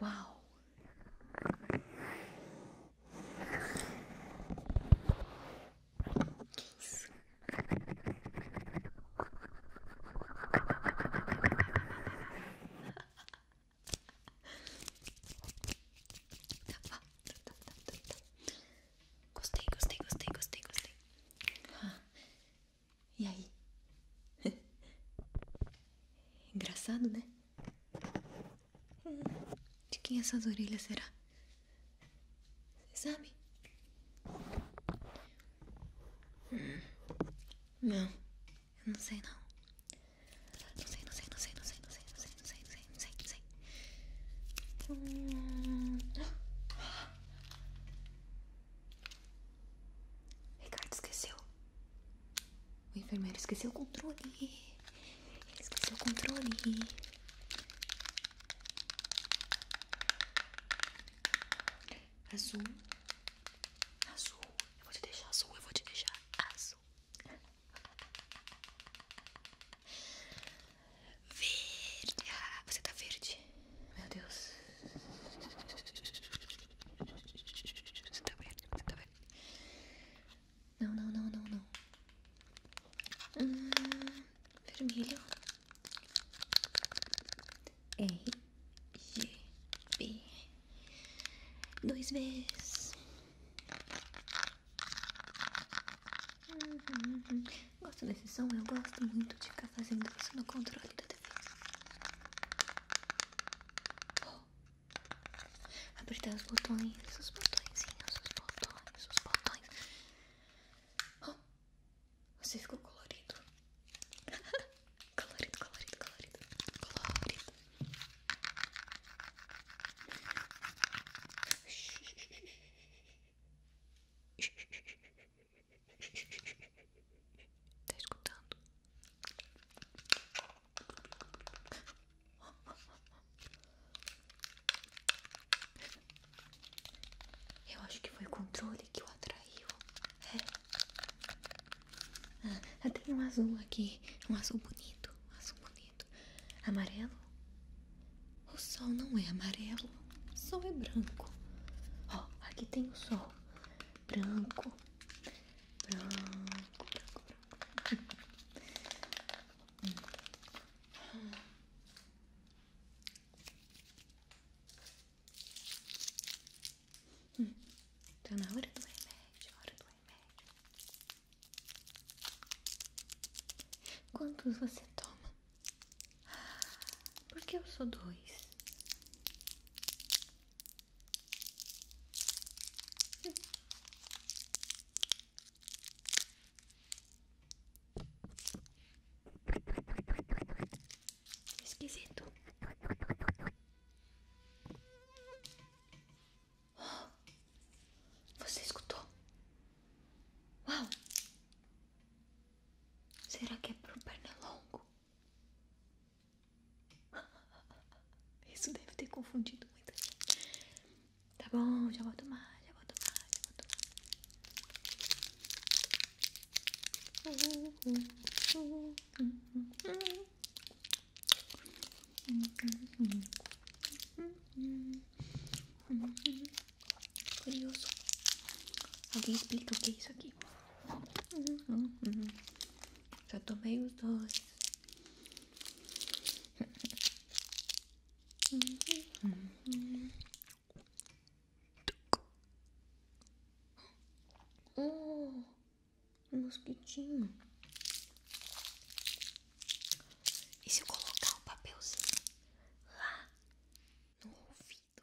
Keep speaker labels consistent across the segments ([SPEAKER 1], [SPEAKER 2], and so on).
[SPEAKER 1] Wow. Yes. Gostei, gostei, gostei, gostei, gostei. E aí? Engraçado, né? Hum, de quem essas orelhas será? Você sabe? Hum, não, eu não sei não. Não sei, não sei, não sei, não sei, não sei, não sei, não sei, não sei, não sei, hum. Ricardo esqueceu. O enfermeiro esqueceu o controle. Ele esqueceu o controle. Azul. Azul. Eu vou te deixar azul. Eu vou te deixar azul. Verde. Ah, você tá verde. Meu Deus. tá vendo? Tá não, não, não, não, não. Hum, vermelho. R, G, B. Dois vezes. Uhum, uhum, Gosto desse som, eu gosto muito de ficar fazendo isso no controle da defesa. Oh. Apertar os botões, os botõezinhos, os botões, os botões. Você ficou colorido. colorido, colorido, colorido, colorido. Tá escutando? Eu acho que foi o controle que o atraiu. É. Ah, tem um azul aqui. Um azul bonito. Um azul bonito. Amarelo? O sol não é amarelo. O sol é branco. Ó, aqui tem o sol branco, branco, branco, branco. hum. Hum. Tá na hora do remédio, hora do remédio. Quantos você toma? Por que eu sou dois? Esquisito. você escutou? Uau! Será que é para pro pernilongo? Isso deve ter confundido muito gente. Tá bom, já vou tomar, já vou tomar, já vou tomar. Curioso. Alguém explica o que é isso aqui? Uhum, uhum. Já tomei os dois. mosquitinho. E se eu colocar o papelzinho lá no ouvido?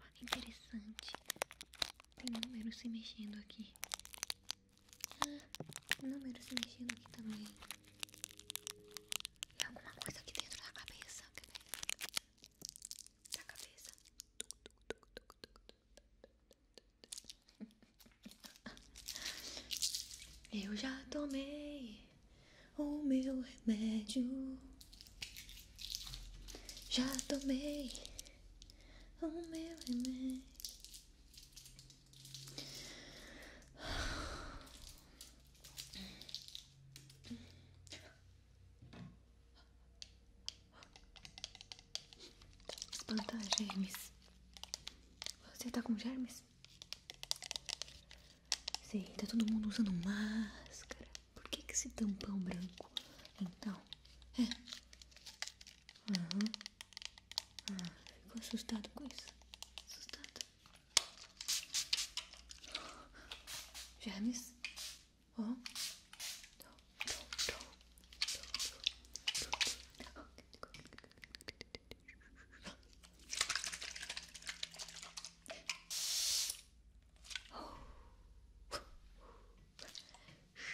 [SPEAKER 1] Oh, interessante. Tem números se mexendo aqui. Ah, números se mexendo aqui também. E alguma coisa aqui dentro da cabeça. Da cabeça. Eu já tomei o meu remédio. Já tomei o meu remédio. Espantar tá germes. Você tá com germes? Sim. tá todo mundo usando máscara. Por que, esse tampão branco? Então, é. Uhum. Ah, ficou assustado com isso? Assustado. James? Oh.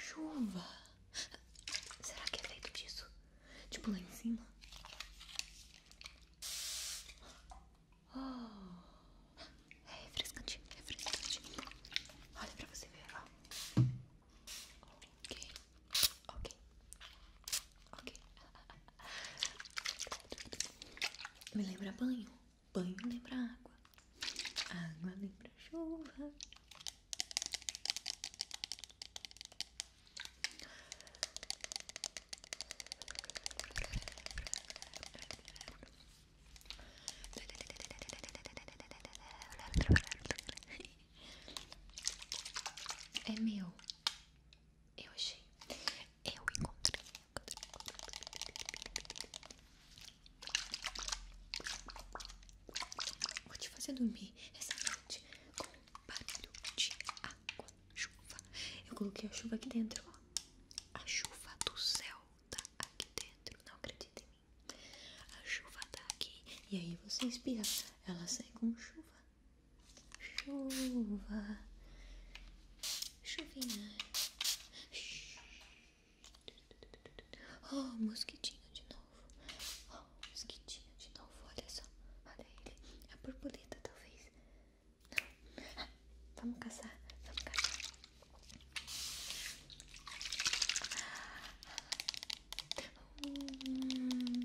[SPEAKER 1] Chuva. Será que é feito disso? Tipo lá em cima? Oh. É refrescante, é refrescante. Olha pra você ver, ó. Ok, ok, ok. Me lembra banho. Banho lembra água, água lembra chuva. É meu. Eu achei. Eu encontrei. Vou te fazer dormir essa noite com um barulho de água, chuva. Eu coloquei a chuva aqui dentro, ó. A chuva do céu tá aqui dentro, não acredita em mim. A chuva tá aqui e aí você inspira, ela sai com chuva. Chuva, Chuvinha. Oh, mosquitinho de novo. Oh, mosquitinho de novo. Olha só. Olha ele. A borboleta, talvez. Não. vamos caçar. Vamos caçar. Hum.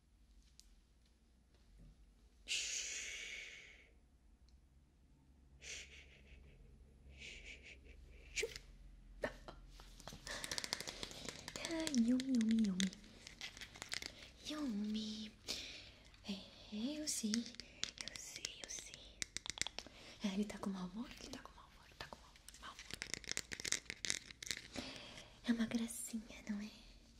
[SPEAKER 1] Ai, yumi, yumi, yumi. É, eu sei, eu sei, eu sei. É, ele tá com mau humor? Ele tá com mau humor, tá com mau humor. É uma gracinha, não é?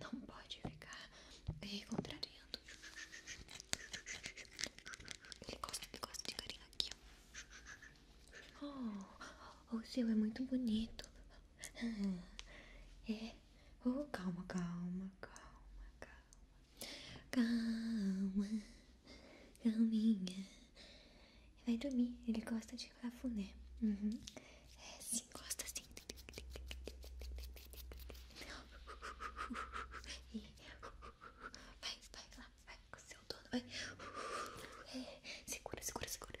[SPEAKER 1] Não pode ficar contrariando. Ele gosta, ele gosta de carinho aqui. Oh, o seu é muito bonito. É. O oh, calma, calma, calma, calma, Calma, calminha. Vai dormir, ele gosta de cafuné. Uhum. É, sim, gosta assim. vai, vai lá, vai com o seu dono, é, segura, segura, segura.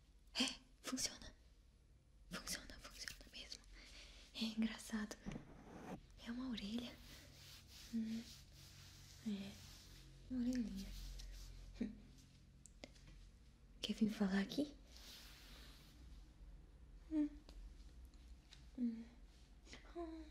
[SPEAKER 1] É, funciona. Funciona, funciona mesmo. É engraçado. Né? É uma orelha. Hum. É, uma orelhinha. Quer vir falar aqui? Hum. Hum. Oh.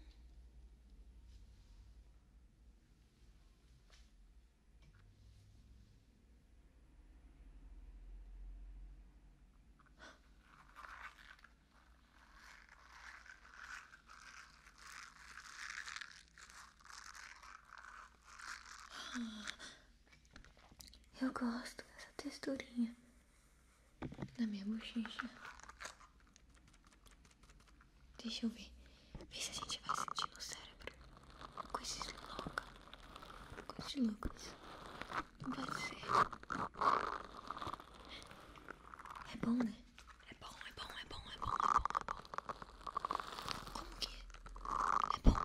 [SPEAKER 1] Eu gosto dessa texturinha da minha bochecha. Deixa eu ver. Vê se a gente vai sentir no cérebro. Coisas loucas. Coisas loucas. Vai ser. É bom, né? É bom, é bom, é bom, é bom, é bom, é bom. Como que? É, é bom.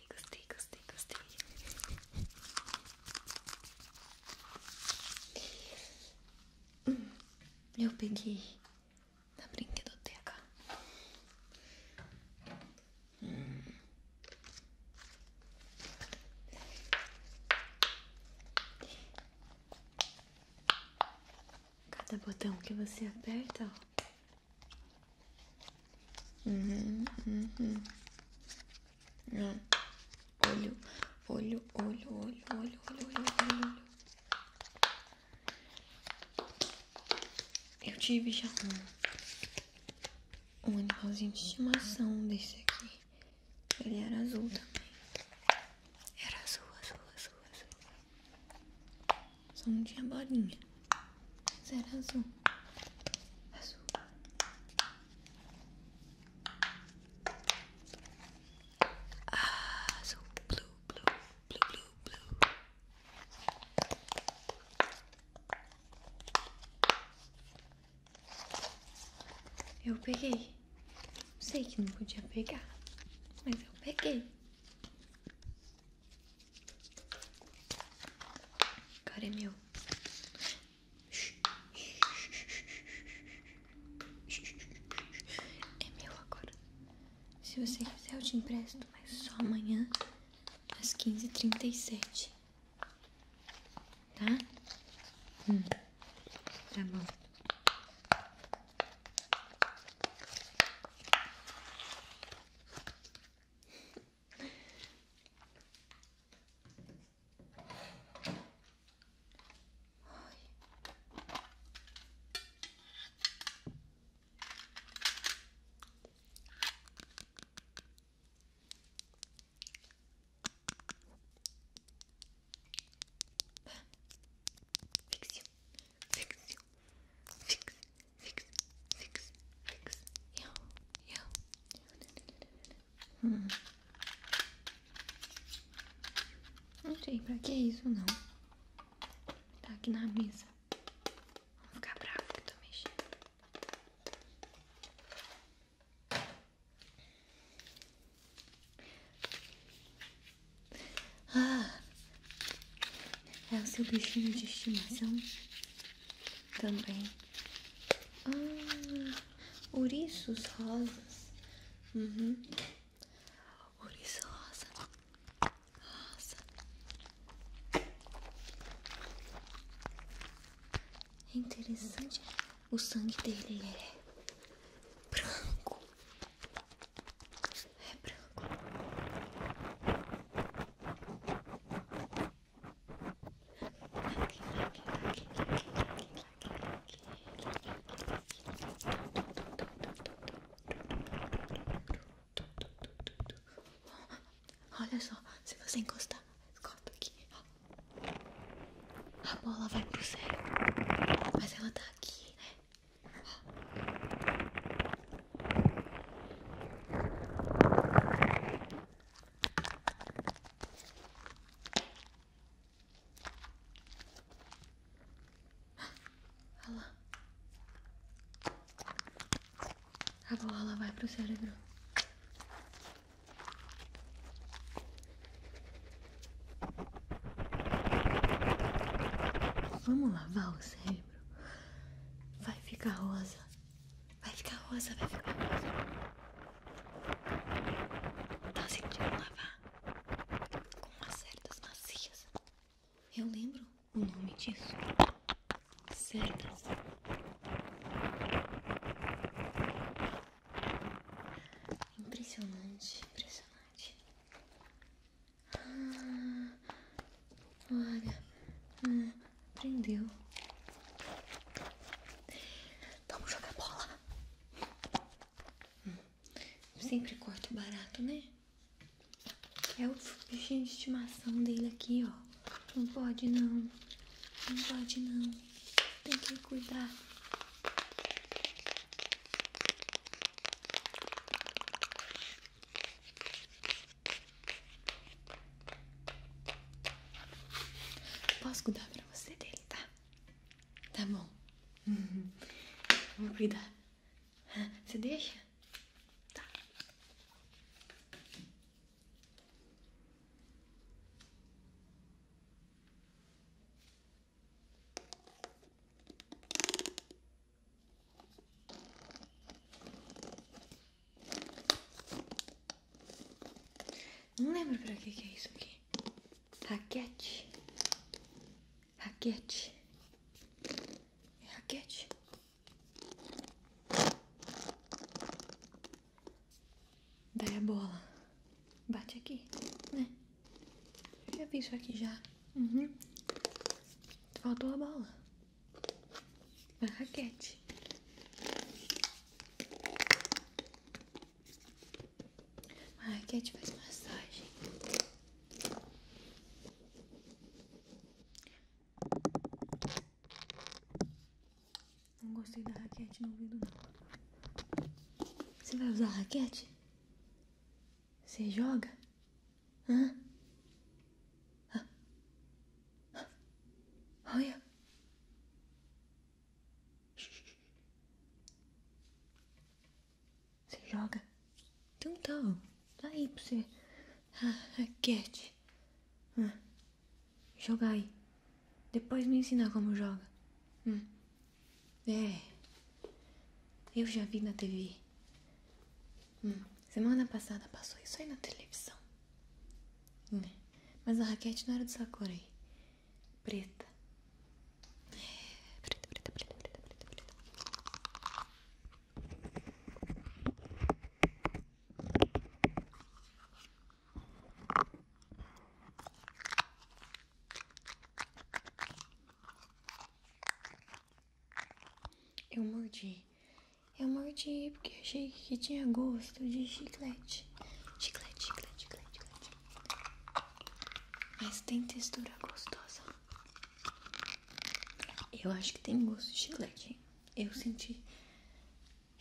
[SPEAKER 1] gostei, gostei, gostei, eu peguei na brinquedoteca. Cada botão que você aperta, Uhum, uhum. Olho, olho, olho, olho, olho, olho, olho, olho. Eu tive já um, um animalzinho de estimação desse aqui. Ele era azul também. Era azul, azul, azul, azul. Só não tinha bolinha. Mas era azul. Azul. Azul, ah, blue, blue, blue, blue, blue. Eu peguei. Sei que não podia pegar, mas eu peguei. Cara é meu. É meu agora. Se você quiser, eu te empresto, mas só amanhã às quinze trinta e sete, Tá? Hum. Tá bom. Fix you, fix you, fix, fix, yo, yo. Hum. Não sei pra que isso não. Tá aqui na mesa. Vou ficar bravo que tô mexendo. Ah, é o seu bichinho de estimação? também. Ah, ouriços rosas. Uhum. rosa. Rosa. É interessante. O sangue dele é branco. É branco. Olha só, se você encostar, corta aqui. A bola vai pro céu, mas ela tá aqui, né? Olha lá. A bola vai pro cérebro. Vamos lavar o cérebro? Vai ficar rosa. Vai ficar rosa, vai ficar rosa. Tá sentindo lavar? Com cerdas macias. Eu lembro o nome disso. Cerdas. Impressionante, impressionante. Ah, olha. Ah prendeu. Vamos jogar bola. Sempre corto barato, né? É o bichinho de estimação dele aqui, ó. Não pode não. Não pode não. Tem que cuidar. Posso cuidar pra você dele, tá? Tá bom. Uhum. Vou cuidar. Você deixa? Tá. Não lembro pra que que é isso aqui. Raquete. Raquete. É raquete. Daí a bola. Bate aqui, né? já vi isso aqui já. Uhum. Faltou a bola raquete. raquete faz massagem. Não gostei da raquete no ouvido, não. Você vai usar raquete? Você joga? Hã? Ah. Olha. Você joga. Então tá, tá aí pra você. Ah, é cat. Ah, jogar aí. Depois me ensinar como joga. Hum. É. Eu já vi na TV. Hum. Semana passada passou isso aí na televisão. Né? Mas a raquete não era do Sakurai. Preta. Preta, preta, preta, preta, preta, preta. Eu mordi eu mordi porque achei que tinha gosto de chiclete. Chiclete, chiclete, chiclete, chiclete. Mas tem textura gostosa. Eu acho que tem gosto de chiclete. Eu senti.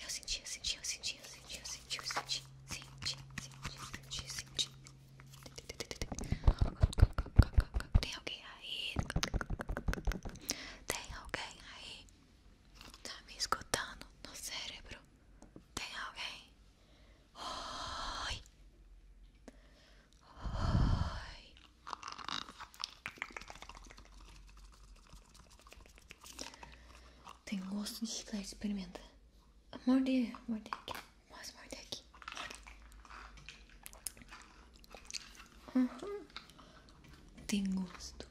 [SPEAKER 1] Eu senti, eu senti, eu senti, eu senti, eu senti, eu senti. Senti, senti, senti, senti. Tem alguém aí? Tem alguém aí? Tá me escutando no cérebro? Tem alguém? Oi! Oi! Tem gosto de chiclete, experimenta. Morder, morder aqui. Mas morder aqui. Uhum. Tem gosto.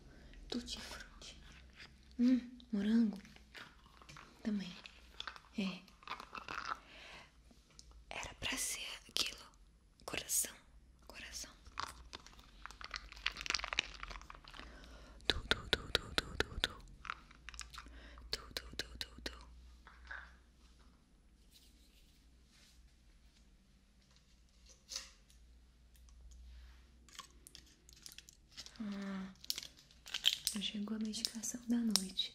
[SPEAKER 1] Tutti frutti. Hum, morango. Também. É. Era pra ser aquilo. Coração. Coração. Tu, tu, tu, tu, tu, tu, tu. Tu, tu, tu, tu, tu. Ah, já chegou a medicação da noite.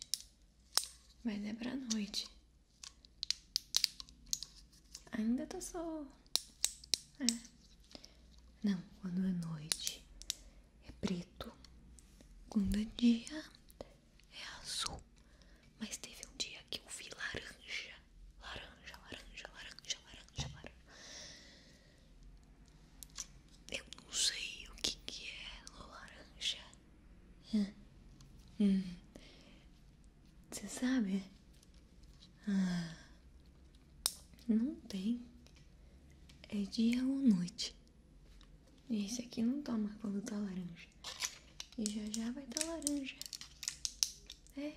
[SPEAKER 1] Mas é pra noite. Ainda tô tá sol. É. Não, quando é noite é preto. Quando é dia é azul. Mas teve um dia que eu vi laranja laranja, laranja, laranja, laranja, laranja. Eu não sei o que, é laranja. Hum. Você sabe? Ah. Não tem. É dia ou noite. Esse aqui não toma quando tá laranja. E já já vai tá laranja. É.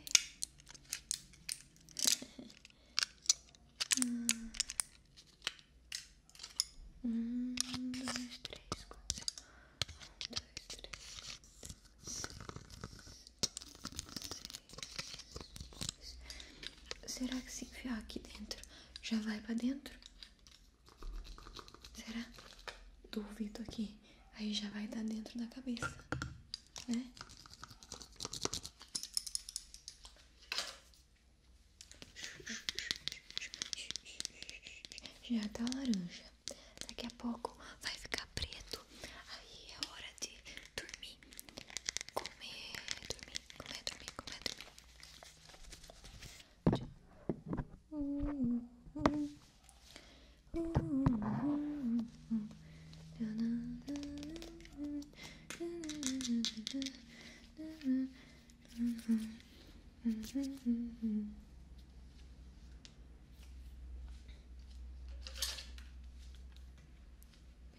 [SPEAKER 1] Um, dois, três, quatro. Um, dois, três, quatro. Será que se enfiar aqui dentro já vai pra dentro? Será? Duvido aqui. Aí já vai dar dentro da cabeça né? Já tá laranja. Daqui a pouco vai ficar preto. Aí é hora de dormir. Comer, dormir, comer, dormir, comer,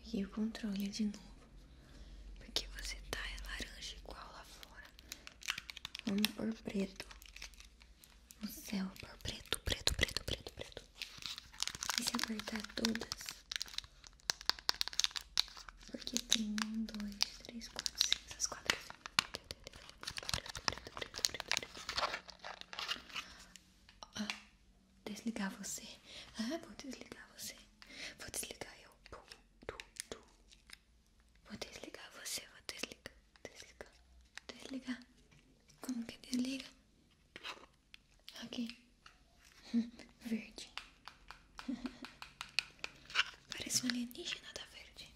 [SPEAKER 1] Peguei o controle de novo. Porque você tá laranja igual lá fora. Vamos por preto no céu por preto, preto, preto, preto, preto. E se apertar todas, porque tem um, dois, três, quatro, cinco, essas quatro. Preto, preto, preto, preto, preto. Ah, desligar você. Ah, vou desligar você. Vou desligar eu. Vou desligar você, vou desligar, desligar, desligar. Como que desliga? Aqui. Verde. Parece um alienígena da verde.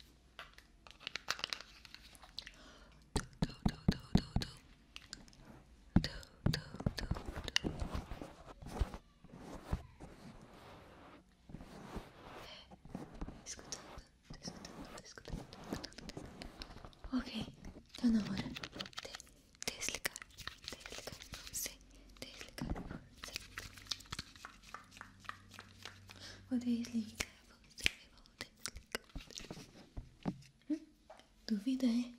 [SPEAKER 1] Du, é, du, du, du, du. Du, du, du, du. Escutando. Ok, tá então na hora de desligar, desligar você, desligar você. Vou desligar você, vou desligar você. Hum? Duvida, é?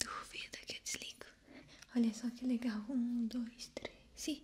[SPEAKER 1] Duvida que desligo. Olha só que legal. Um, dois, três e.